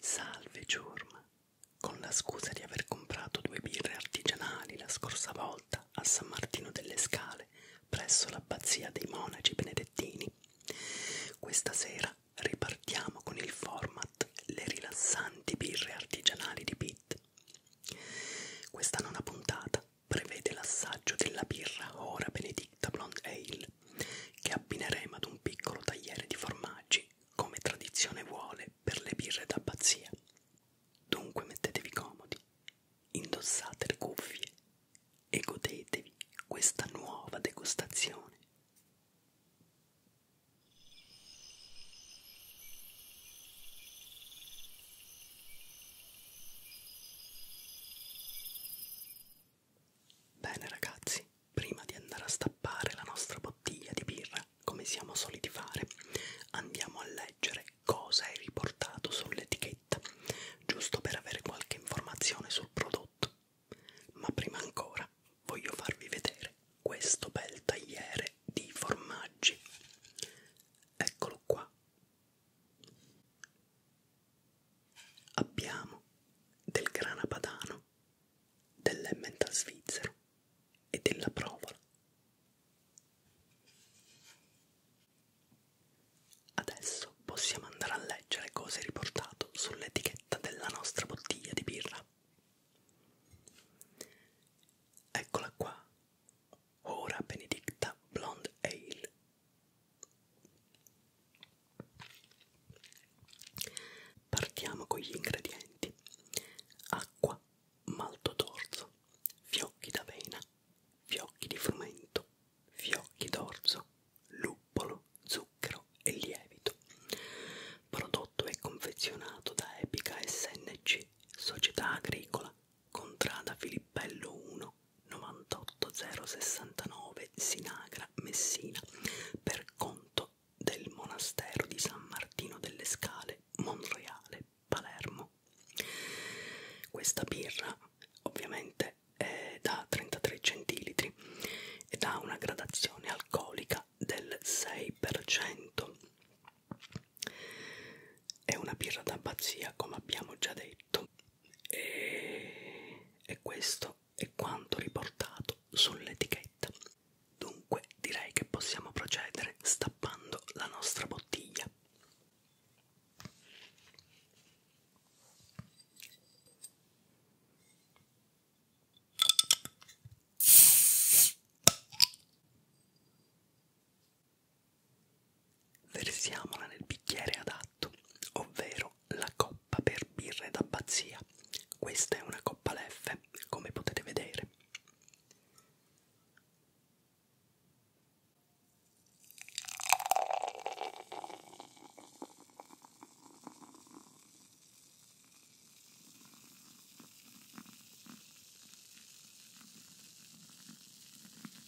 Salve Ciurma, con la scusa di aver comprato due birre artigianali la scorsa volta a San Martino delle Scale presso l'abbazia dei monaci benedettini, questa sera ripartiamo con il format Le rilassanti birre artigianali di Pitt. Questa nona puntata prevede l'assaggio della birra Ora Benedicta Blonde Ale che abbineremo ad un piccolo tagliere di formaggi, come tradizione vuole per le birre d'abbazia. Dunque mettetevi comodi, indossate le cuffie e godetevi questa nuova degustazione. Bene ragazzi, prima di andare a stappare la nostra bottiglia di birra, come siamo soliti fare, andiamo a leggere cosa è riportato sull'etichetta, giusto per avere qualche informazione sul prodotto. Ma prima ancora voglio farvi vedere questo bel tagliere di formaggi. Eccolo qua. Abbiamo del grana padano, dell'emmental svizzero e della provola. Adesso possiamo andare a leggere cosa è riportato sull'etichetta della nostra bottiglia di birra. Eccola qua, Ora Benedicta Blonde Ale, Partiamo con gli ingredienti: acqua, malto d'orzo, fiocchi d'avena, fiocchi di frumento, fiocchi d'orzo, luppolo, zucchero e lievito. Prodotto e confezionato da Epica SNC, Società Agricola, Contrada Filippello 1, 98069 Sinagra, Messina, per conto del monastero di San Martino delle Scale, Monreale, Palermo. Questa birra ovviamente è da 33 centilitri ed ha una gradazione alcolica del 6%. È una birra da pazzia, come abbiamo già detto fatto e, e questo è quanto riportato sull'etichetta dunque direi che possiamo procedere stappando la nostra bottiglia Versiamola nel bicchiere adatto, ovvero la coppa per birre d'abbazia. Questa è una coppa Leffe, come potete vedere.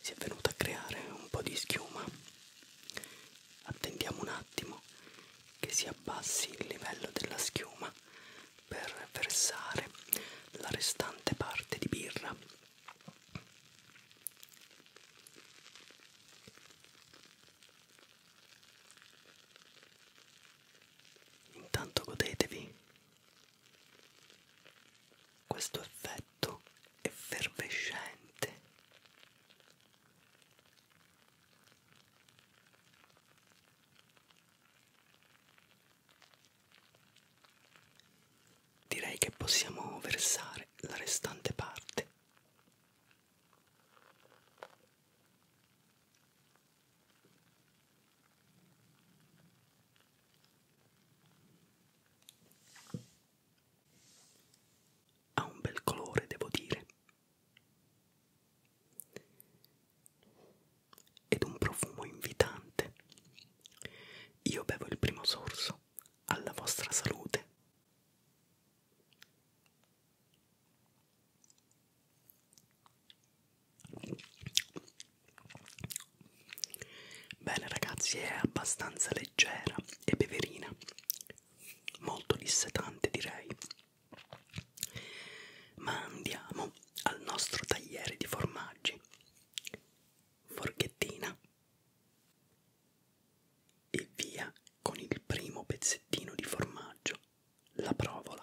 si è venuta a creare un po' di schiuma attendiamo un attimo che si abbassi il livello della schiuma per versare la restante parte di birra intanto godetevi questo effetto effervescente direi che possiamo versare la restante parte ha un bel colore, devo dire. Ed un profumo invitante. Io bevo il primo sorso. Alla vostra salute. Bene ragazzi, è abbastanza leggera e beverina, molto dissetante direi. Ma andiamo al nostro tagliere di formaggi. Forchettina e via con il primo pezzettino di formaggio, la provola.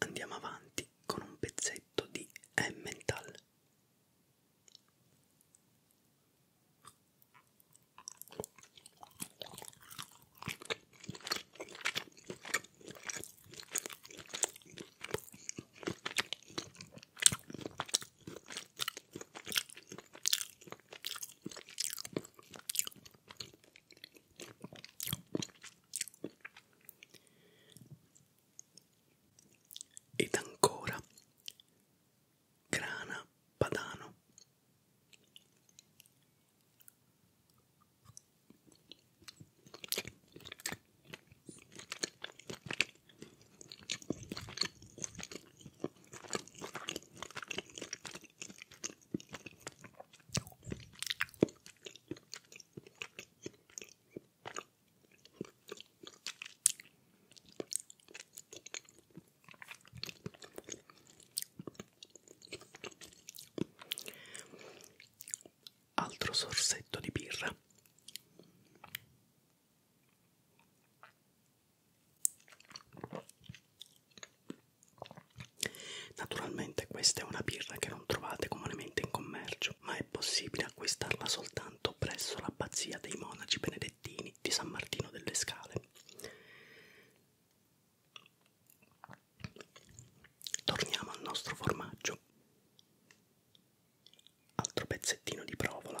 Andiamo avanti con un pezzetto di Emmental. Ed ancora grana padano. Altro sorsetto di birra. Naturalmente questa è una birra che non trovate comunemente in commercio, ma è possibile acquistarla soltanto presso l'abbazia dei monaci benedettini di San Martino delle Scale. Torniamo al nostro formaggio. Altro pezzettino di provola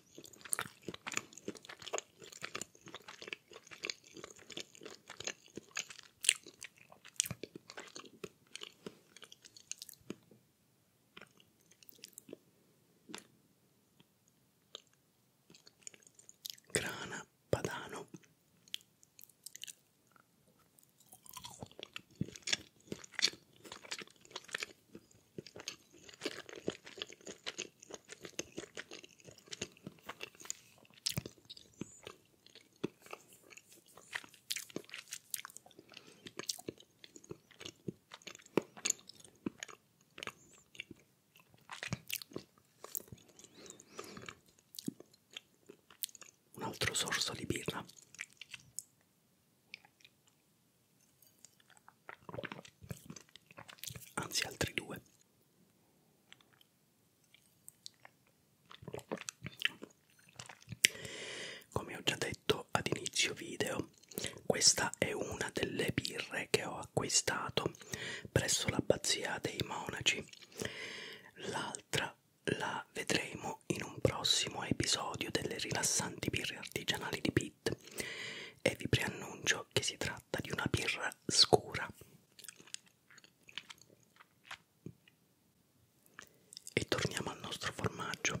Grana Padano un altro sorso di birra anzi altri due come ho già detto ad inizio video questa è una delle birre che ho acquistato presso l'abbazia dei monaci l'altra la vedremo vediamo in un prossimo episodio delle rilassanti birre artigianali di Pitt e vi preannuncio che si tratta di una birra scura. E torniamo al nostro formaggio.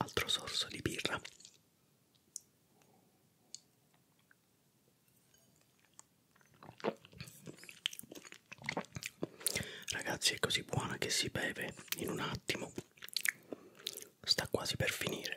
Altro sorso di birra. Ragazzi, è così buona che si beve in un attimo. Sta quasi per finire.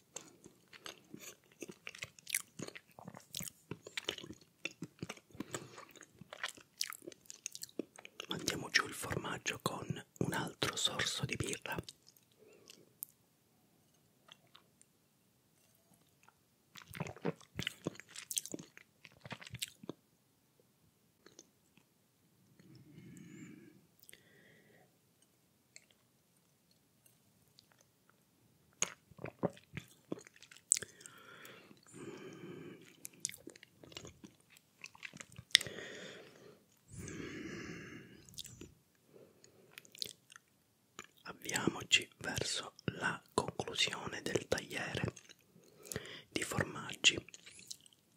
Mandiamo giù il formaggio con un altro sorso di birra. Avviamoci verso la conclusione del tagliere di formaggi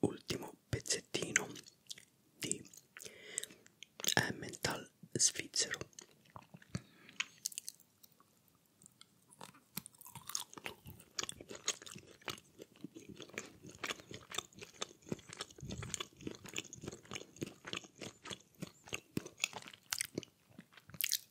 ultimo pezzettino di Emmental eh, svizzero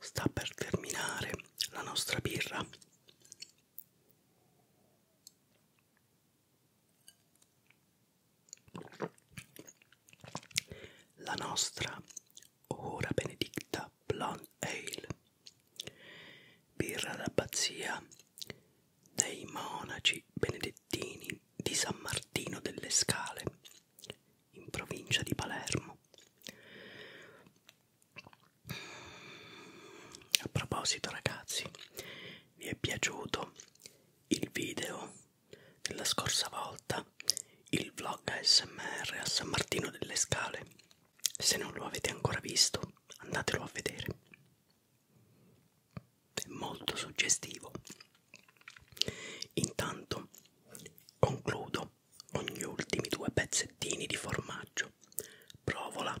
sta per terminare la nostra birra la nostra ora benedicta blonde ale birra d'abbazia dei monaci benedettini di San Martino delle Scale in provincia di Palermo. A proposito ragazzi, vi è piaciuto il video della scorsa volta, il vlog ASMR a San Martino delle Scale? Se non lo avete ancora visto, andatelo a vedere. È molto suggestivo. Intanto concludo aggiungo ogni ultimi due pezzettini di formaggio. Provola.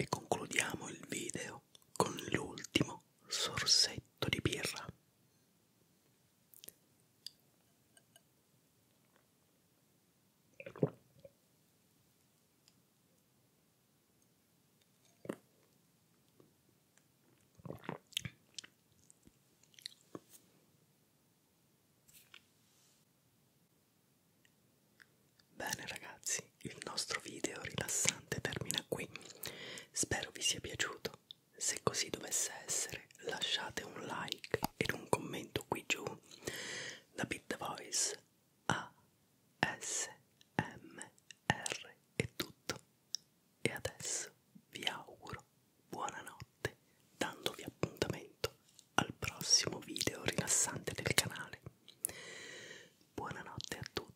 E concludiamo il video con l'ultimo sorsetto di birra. Bene ragazzi, il nostro video rilassante termina qui. Spero vi sia piaciuto. Se così dovesse essere, lasciate un like ed un commento qui giù. Da Beat the Voice a SMR è tutto. E adesso vi auguro buonanotte, dandovi appuntamento al prossimo video rilassante del canale. Buonanotte a tutti.